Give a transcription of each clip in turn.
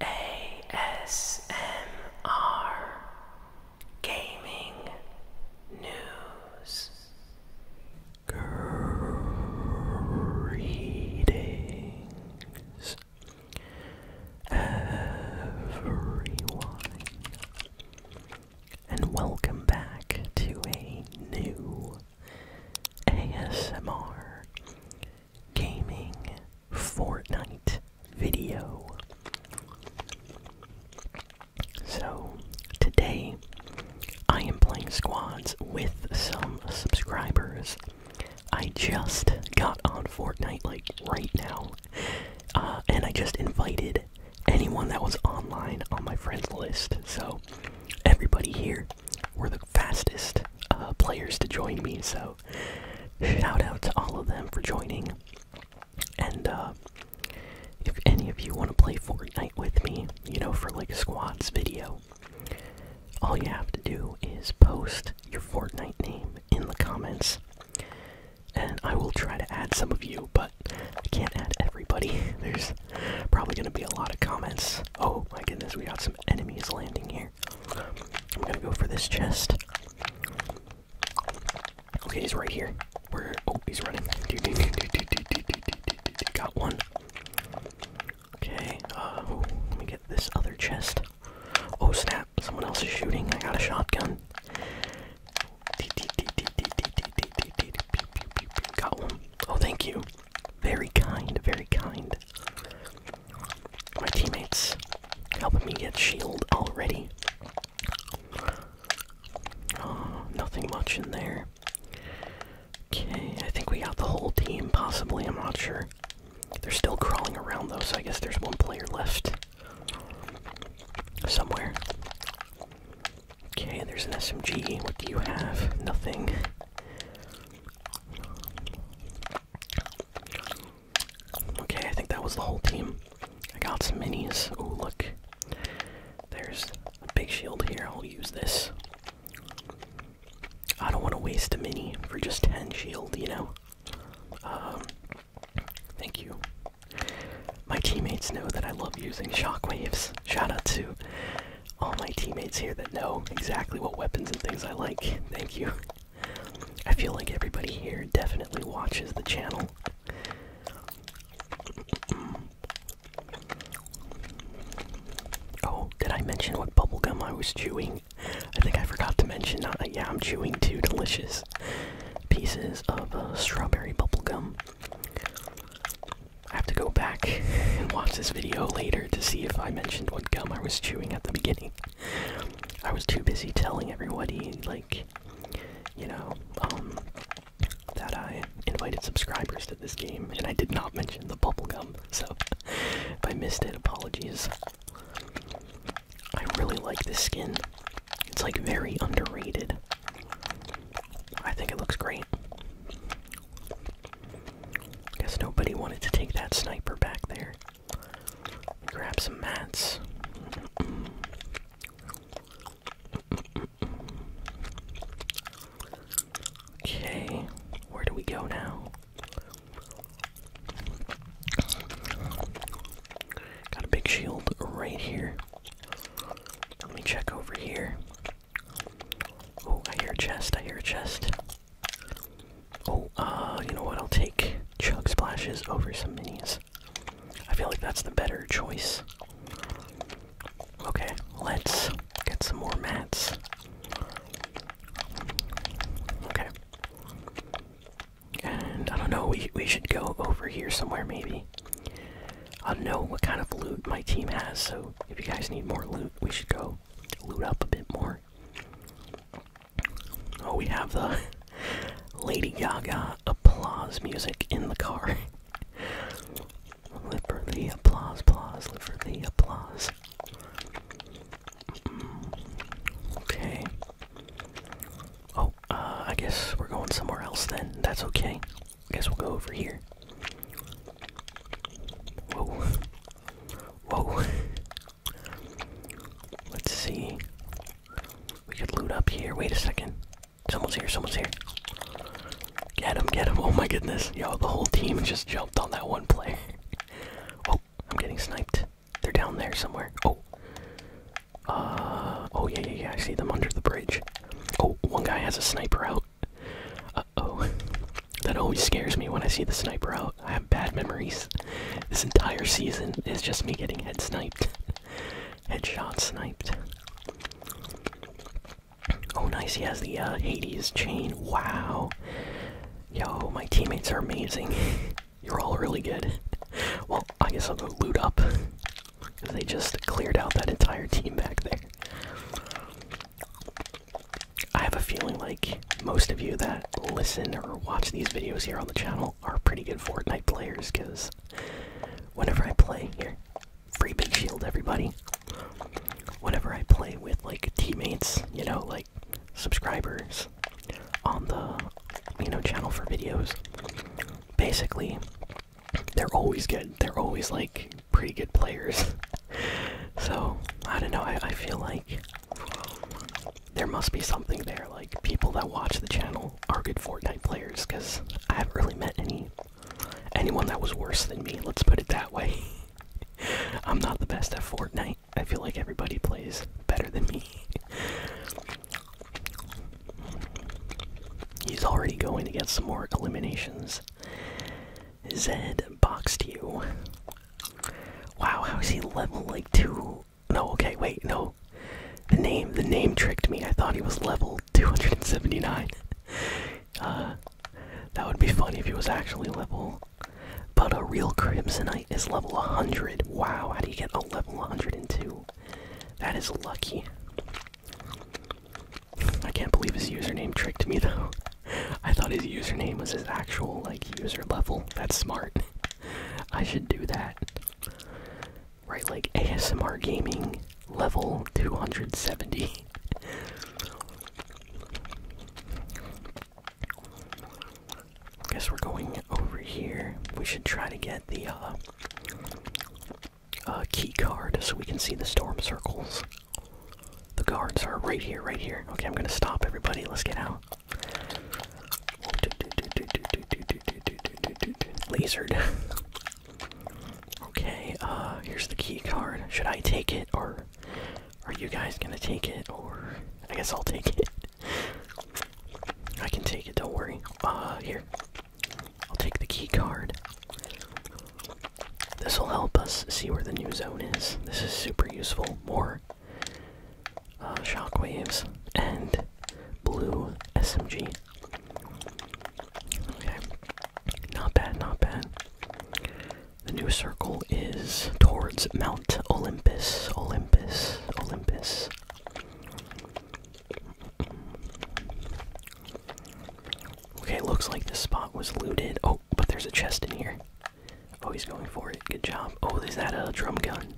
ASMR Gaming News Greetings everyone and welcome back to a new ASMR gaming Fortnite video. So, today I am playing squads with some subscribers. I just got on Fortnite, like right now, uh, and I just invited anyone that was online on my friends list. So, everybody here, we're the fastest uh, players to join me. So shout out to all of them for joining. And uh, if any of you want to play Fortnite with me, you know, for like a squads video, all you have to do is post your Fortnite name in the comments. And I will try to add some of you, but I can't add everybody. There's probably going to be a lot of comments. Oh my goodness, we got some enemies landing here here. I'm gonna go for this chest. Okay, he's right here. Where? Oh, he's running. Got one. Okay. Uh, oh, let me get this other chest. Oh snap! Someone else is shooting. I got a shotgun. Got one. Oh, thank you. Very kind, very kind. My teammates helping me get shield already. Oh, nothing much in there. Okay, I think we got the whole team, possibly. I'm not sure. They're still crawling around, though, so I guess there's one player left. Somewhere. Okay, there's an SMG. What do you have? Nothing. Okay, I think that was the whole team. I got some minis. Oh, look. There's a big shield here. I'll use this. I don't want to waste a mini for just 10 shield, you know? Um, thank you. My teammates know that I love using shockwaves. Shout out to all my teammates here that know exactly what weapons and things I like. Thank you. I feel like everybody here definitely watches the channel. Oh, did I mention what bubblegum I was chewing? I think I forgot to mention. Uh, yeah, I'm chewing two delicious pieces of uh, strawberry bubblegum. I have to go back and watch this video later to see if I mentioned what gum I was chewing at the beginning. I was too busy telling everybody, like, you know, um, that I invited subscribers to this game, and I did not mention the bubble gum. so if I missed it, apologies. I really like this skin. It's like very underrated. I think it looks great. Guess nobody wanted to take that sniper back there. Grab some mats. Okay, where do we go now? Got a big shield right here. Let me check over here. Oh, I hear a chest, I hear a chest. Oh, uh, you know what? I'll take chug splashes over some minis. I feel like that's the better choice. Okay, let's get some more mats. Okay. And I don't know, we, we should go over here somewhere maybe. I don't know what kind of loot my team has, so if you guys need more loot, we should go loot up a bit more. Oh, we have the Lady Gaga applause music in the car. live for the applause, applause, live for the applause. Mm, okay. Oh, uh, I guess we're going somewhere else then. That's okay guess we'll go over here. Whoa. Whoa. Let's see. We could loot up here. Wait a second. Someone's here, someone's here. Get him, get him. Oh my goodness. Yo, the whole team just jumped on that one player. oh, I'm getting sniped. They're down there somewhere. Oh. Uh, oh yeah, yeah. I see them under the bridge. Oh, one guy has a sniper out. Uh-oh. That always scares me when I see the sniper out. I have bad memories. This entire season is just me getting head sniped. Headshot sniped. Oh, nice. He has the uh, Hades chain. Wow. Yo, my teammates are amazing. You're all really good. Well, I guess I'll go loot up. Because they just cleared out that entire team back there. I have a feeling like most of you that listen or watch these videos here on the channel are pretty good Fortnite players because whenever I play here, free big shield, everybody. Whenever I play with like teammates, you know, like subscribers on the you know channel for videos, basically they're always good. They're always like pretty good players. so I don't know. I, feel like there must be something there. Like people that watch the channel are good Fortnite players because I haven't really met any anyone that was worse than me. Let's put it that way. I'm not the best at Fortnite. I feel like everybody plays better than me. He's already going to get some more eliminations. Zed boxed you. Wow, how is he level like two? No, okay, wait, no. The name, the name tricked me. I thought he was level 279. uh, that would be funny if he was actually level. But a real Crimsonite is level 100. Wow, how do you get a level 102? That is lucky. I can't believe his username tricked me though. I thought his username was his actual like user level. That's smart. I should do that. Right, like ASMR gaming level 270. Guess we're going over here. We should try to get the uh a key card so we can see the storm circles. The guards are right here, right here. Okay, I'm gonna stop everybody. Let's get out. Lizard. okay, uh, here's the key card. Should I take it or are you guys gonna take it? Or I guess I'll take it. I can take it, don't worry. Uh, here. I'll take the key card. This will help us see where the new zone is. This is super useful. More uh, shockwaves and blue SMG. Okay, not bad, not bad. The new circle is towards Mount Olympus, Olympus, Olympus. Okay, looks like this spot was looted. Oh, but there's a chest in here. Oh, he's going for it. Good job. Oh, is that a drum gun?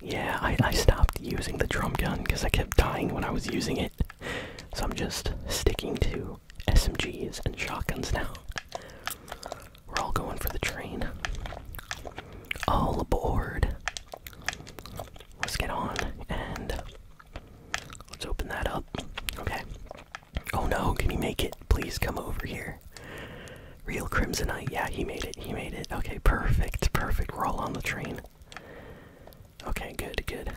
Yeah, I, I stopped using the drum gun because I kept dying when I was using it. So I'm just sticking to SMGs and shotguns now. We're all going for the train. All aboard. Let's get on and Let's open that up. Okay. Oh no, can he make it? Please come over here. Real Crimsonite. Yeah, he made it. He made it. Okay, perfect. Perfect. We're all on the train. Okay, good, good.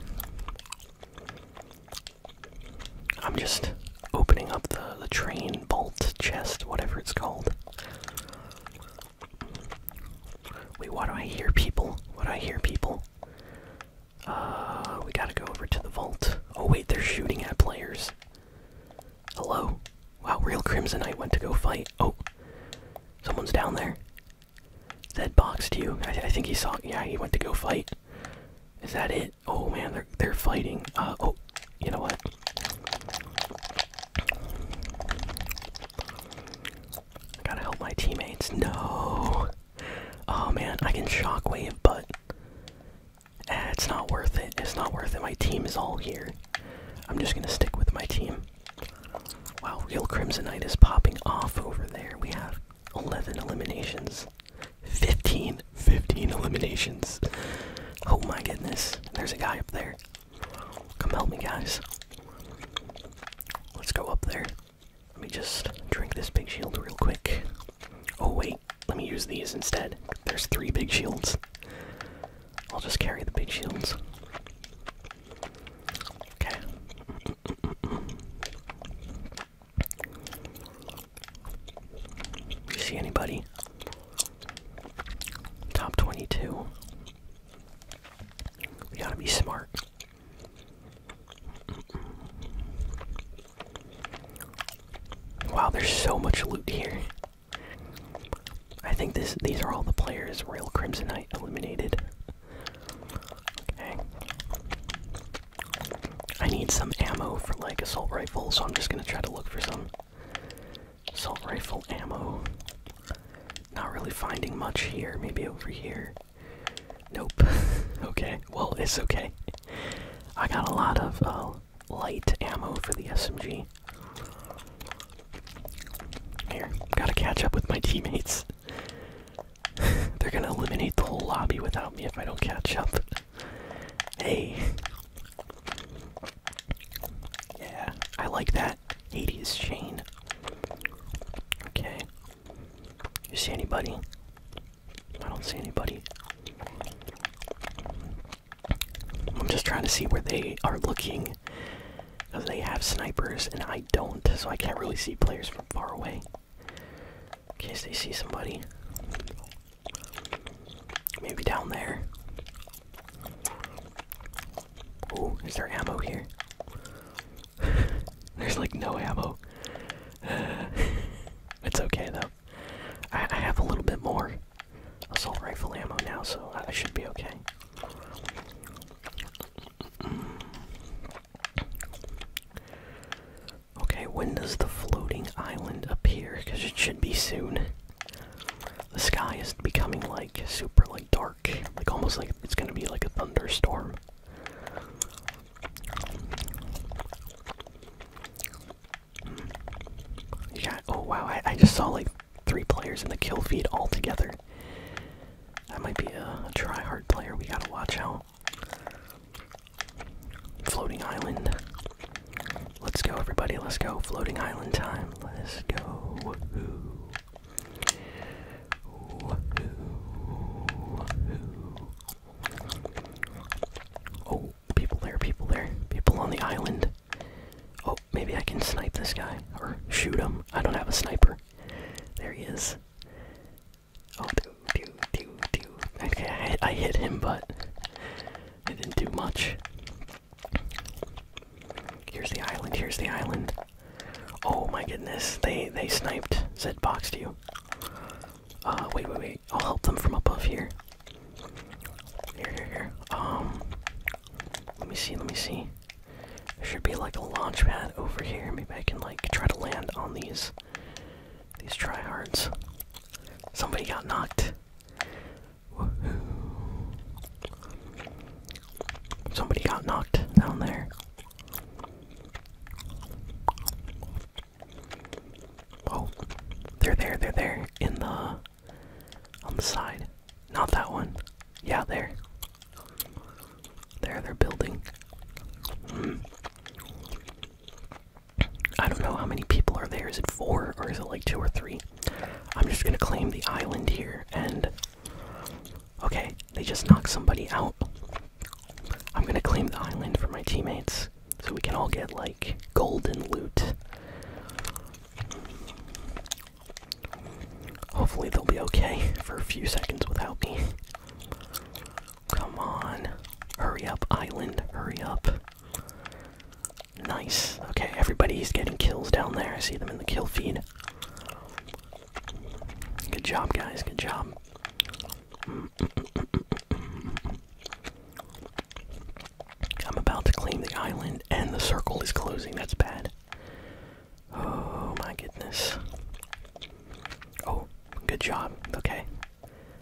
I'm just opening up the the train bolt chest, whatever it's called. Wait, why do I hear people? What do I hear people? Uh, we gotta go over to the vault. Oh wait, they're shooting at players. Hello? Wow, real Crimson Knight went to go fight. Oh, someone's down there. Zed boxed you. I, I think he saw. Yeah, he went to go fight. Is that it? Oh man, they're they're fighting. Uh oh, you know what? I gotta help my teammates. No. Oh man, I can shockwave, but eh, it's not worth it. It's not worth it. My team is all here. I'm just gonna stick with my team. Wow, real Crimsonite is popping off over there. We have 11 eliminations. 15. 15 eliminations. Oh my goodness. There's a guy up there. Come help me, guys. Let's go up there. Let me just drink this big shield real quick. Oh, wait. Let me use these instead. There's three big shields. I'll just carry the big shields. Okay. You see anybody? Top 22. We gotta be smart. Wow, there's so much loot here. I think this these are all the players Royal Crimson Knight eliminated. Okay. I need some ammo for like assault rifles, so I'm just gonna try to look for some assault rifle ammo. Not really finding much here. Maybe over here. Nope. okay. Well, it's okay. I got a lot of uh, light ammo for the SMG. Here, gotta catch up with my teammates. They're gonna eliminate the whole lobby without me if I don't catch up. hey. Yeah, I like that. Hades Shane. Okay. You see anybody? I don't see anybody. I'm just trying to see where they are looking. Because they have snipers and I don't, so I can't really see players from far away. In case they see somebody. Maybe down there. Oh, is there ammo here? There's like no ammo. it's okay though. I have a little bit more assault rifle ammo now, so I should be okay. Okay, when does the floating island appear? Because it should be soon. The sky is becoming like super like dark like almost like it's gonna be like a thunderstorm. Yeah. Oh wow! I, just saw like three players in the kill feed all together. That might be a, a try-hard player. We gotta watch out. Floating island. Let's go, everybody. Let's go. Floating island time. Let's go. Oh, people there, people there. People on the island. Oh, maybe I can snipe this guy. Or shoot him. I don't have a sniper. There he is. Oh, okay, I, I hit him, but it didn't do much. Here's the island. Here's the island. Oh my goodness! They they sniped Said Box to you. Uh, wait, wait, wait. I'll help them from above here. Here, here, here. Um, let me see. Let me see. There should be like a launch pad over here. Maybe I can like try to land on these these tryhards. Somebody got knocked. Somebody got knocked down there. Oh, they're there, they're there, in the, on the side. Not that one. Yeah, there. There, they're building. Mm. I don't know how many people are there. Is it four or is it like two or three? I'm just gonna claim the island here and. Okay, they just knocked somebody out. I'm gonna claim the island for my teammates so we can all get like golden loot. Hopefully, they'll be okay for a few seconds without me. Come on. Hurry up, island. Hurry up. Nice. Okay, everybody's getting kills down there. I see them in the kill feed. Good job, guys. Good job. I'm about to claim the island, and the circle is closing. That's bad. Oh my goodness. Oh, good job. Okay.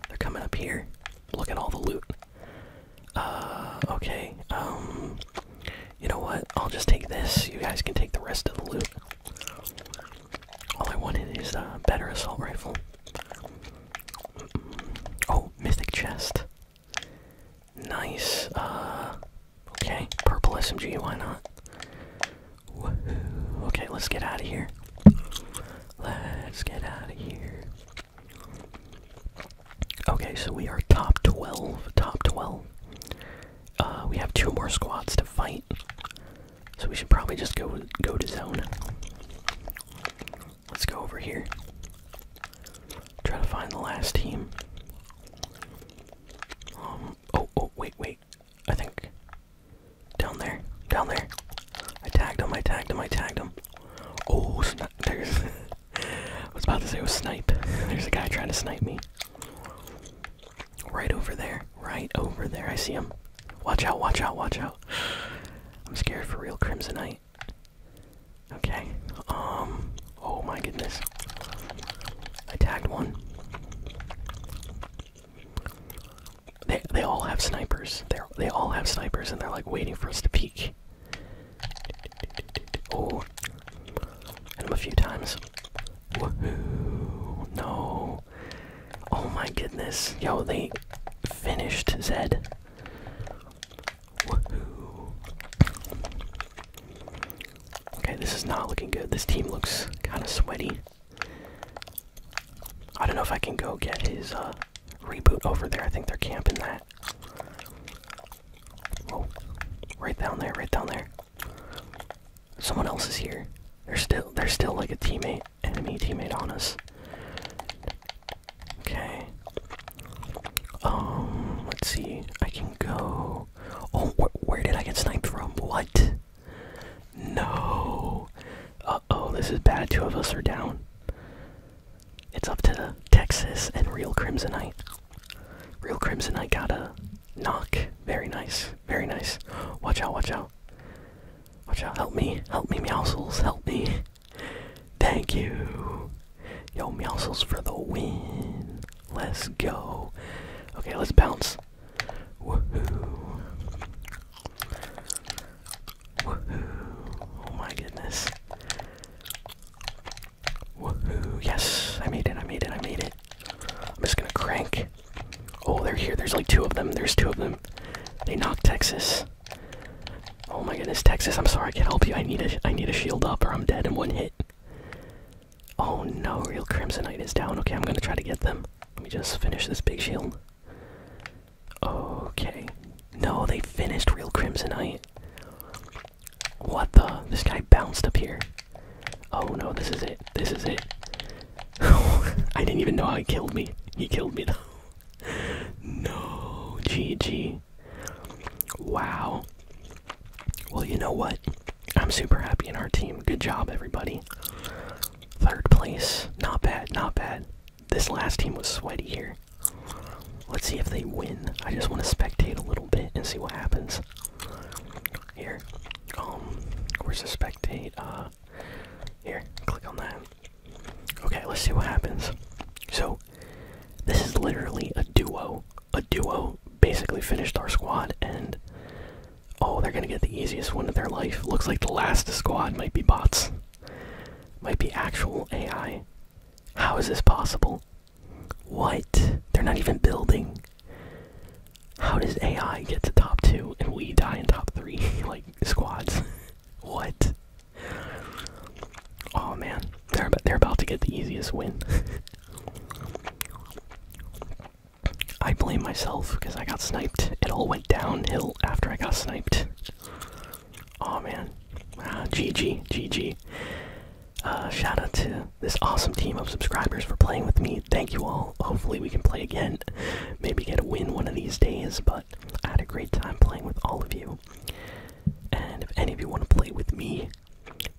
They're coming up here. Look at all the loot. Uh, okay. Um, you know what? I'll just take this. You guys can take the rest of the loot. All I wanted is a better assault rifle. Mm-hmm. Oh, mythic chest. Nice. Uh, okay. Purple SMG. Why not? Okay, let's get out of here. Let's get out of here. Okay, so we are top 12. Top 12. Uh, we have two more squads to fight. So we should probably just go go to zone. Let's go over here. Try to find the last team. Um, oh oh wait wait. I think down there. Down there. I tagged him, I tagged him, I tagged him. Oh snap I was about to say it was snipe. There's a guy trying to snipe me. Right over there. Right over there. I see him. Watch out, watch out, watch out. I'm scared for real Crimsonite. Okay. Um oh my goodness. I tagged one. They they all have snipers. They they all have snipers and they're like waiting for us to peek. Oh, hit him a few times. No! Oh my goodness! Yo, they finished Zed. Okay, this is not looking good. This team looks kind of sweaty. I don't know if I can go get his uh, reboot over there. I think they're camping that. Right down there, right down there. Someone else is here. There's still there's still like a teammate, enemy teammate on us. Okay. Um, let's see. I can go. Oh, where did I get sniped from? What? No. Uh oh, this is bad. Two of us are down. It's up to Texas and Real Crimsonite. Real Crimsonite got to knock. Very nice. Very nice. Watch out, watch out. Watch out. Help me. Help me, Meowsles. Help me. Thank you. Yo, Meowsles for the win. Let's go. Okay, let's bounce. Woohoo. Woohoo. Oh my goodness. Woohoo, yes, I made it, I made it, I made it. I'm just gonna crank. Oh, they're here, there's like two of them, there's two of them. They knocked Texas. Oh my goodness, Texas, I'm sorry, I can't help you. I need a, I need a shield up or I'm dead in one hit. Oh no, real Crimsonite is down. Okay, I'm gonna try to get them. Let me just finish this big shield. Okay. No, they finished real Crimsonite. What the? This guy bounced up here. Oh no, this is it. This is it. I didn't even know how he killed me. He killed me though. no, GG. Wow. Well, you know what? I'm super happy in our team. Good job, everybody. Third place. Not bad, not bad this last team was sweaty here. Let's see if they win. I just want to spectate a little bit and see what happens. Here, um, we're the spectate? Uh, here, click on that. Okay, let's see what happens. So, this is literally a duo. A duo basically finished our squad, and oh, they're gonna get the easiest one of their life. Looks like the last squad might be bots, might be actual AI. How is this possible? What? They're not even building. How does AI get to top two and we die in top three, like squads? what? Oh man, they're about, they're about to get the easiest win. I blame myself because I got sniped. It all went downhill after I got sniped. Oh man. Ah, GG, GG. Uh, shout out to this awesome team of subscribers for playing with me. Thank you all. Hopefully, we can play again. Maybe get a win one of these days, but I had a great time playing with all of you. And if any of you want to play with me,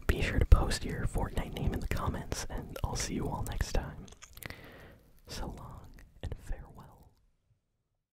be sure to post your Fortnite name in the comments, and I'll see you all next time. So long and farewell.